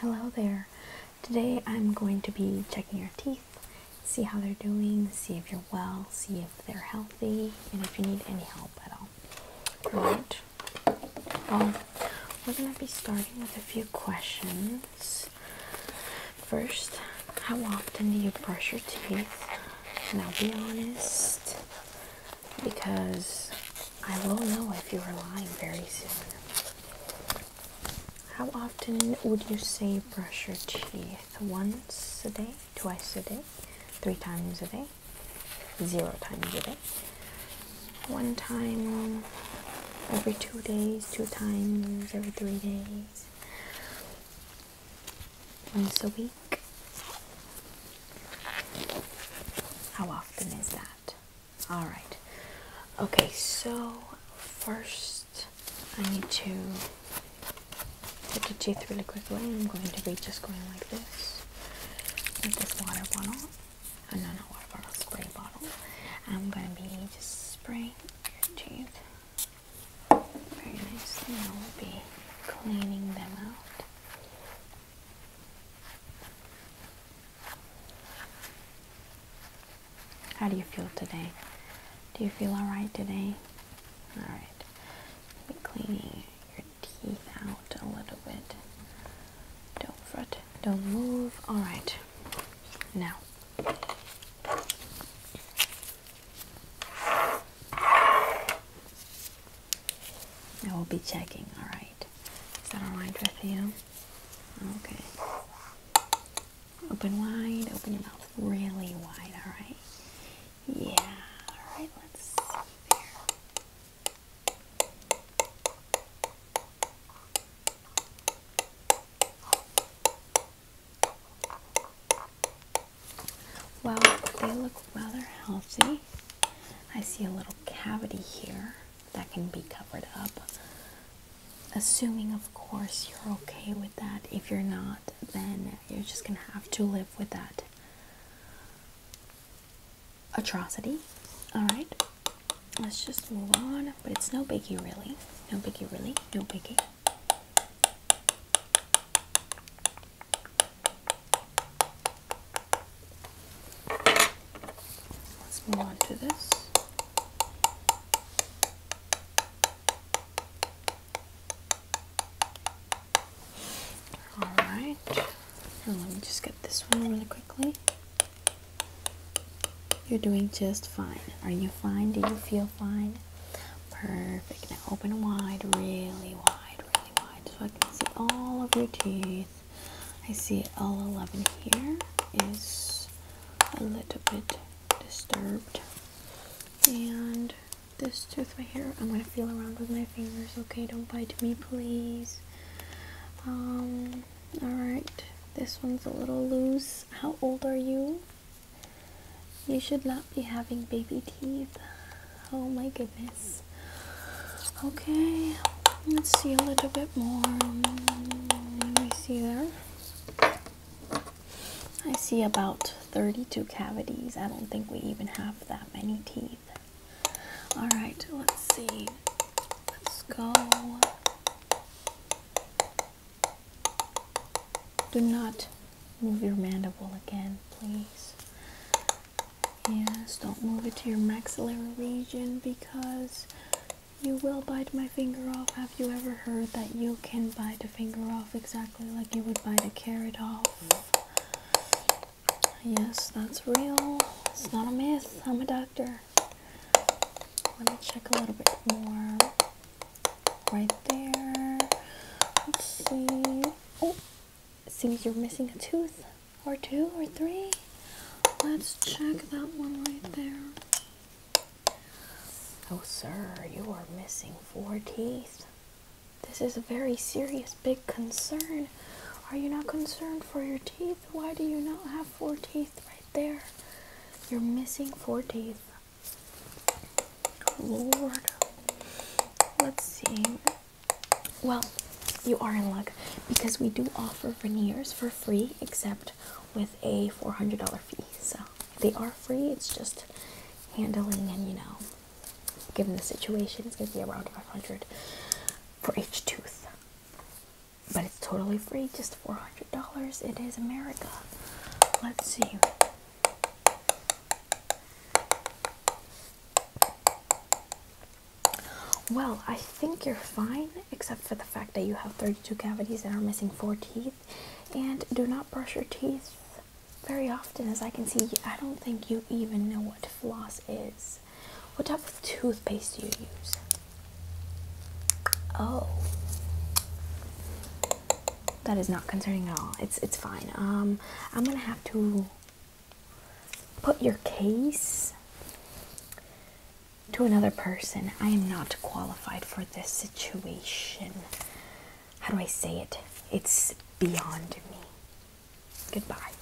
Hello there. Today I'm going to be checking your teeth, see how they're doing, see if you're well, see if they're healthy, and if you need any help at all. Alright. Well, we're going to be starting with a few questions. First, how often do you brush your teeth? And I'll be honest because I will know if you are lying very soon. How often would you say brush your teeth? Once a day, twice a day, three times a day, zero times a day, one time every two days, two times every three days. Once a week? How often is that? Alright. Okay, so first I need to take the teeth really quickly. I'm going to be just going like this with this water bottle. Oh, no, not water bottle, spray bottle. I'm going to be just spraying your teeth very nicely. I will be cleaning them out. How do you feel today? Do you feel alright today? Alright. Be cleaning your teeth out a little bit. Don't fret, don't move. Alright. Now I will be checking, alright. Is that alright with you? Okay. Open wide, open your mouth really wide, alright? Yeah, alright, let's well, they look rather healthy. I see a little cavity here that can be covered up. Assuming, of course, you're okay with that. If you're not, then you're just gonna have to live with that atrocity. Alright, let's just move on. But it's no biggie, really. No biggie, really. No biggie. Let's move on to this. All right, and let me just get this one really quickly. You're doing just fine. Are you fine? Do you feel fine? Perfect. Now open wide, really wide, really wide, so I can see all of your teeth. I see L11 here is a little bit disturbed. And this tooth right here, I'm gonna feel around with my fingers, okay? Don't bite me, please. Um, alright, this one's a little loose. How old are you? You should not be having baby teeth. Oh my goodness. Okay, let's see a little bit more. Let me see there. I see about 32 cavities. I don't think we even have that many teeth. All right, let's see. Let's go. Do not move your mandible again, please. Yes, don't move it to your maxillary region because you will bite my finger off. Have you ever heard that you can bite a finger off exactly like you would bite a carrot off? Yes, that's real. It's not a myth. I'm a doctor. Let me check a little bit more. Right there. Let's see. Oh, seems you're missing a tooth, or two, or three. Let's check that one right there. Oh, sir, you are missing four teeth. This is a very serious, big concern. Are you not concerned for your teeth? Why do you not have four teeth right there. You're missing four teeth. Lord. Let's see. Well, you are in luck because we do offer veneers for free except with a $400 fee. So they are free. It's just handling and, you know, given the situation, it's going to be around 500 for each tooth but it's totally free, just $400. It is America. Let's see. Well, I think you're fine, except for the fact that you have 32 cavities and are missing 4 teeth. And do not brush your teeth very often, as I can see. I don't think you even know what floss is. What type of toothpaste do you use? Oh, that is not concerning at all. It's it's fine. Um, I'm gonna have to put your case to another person. I am not qualified for this situation. How do I say it? It's beyond me. Goodbye.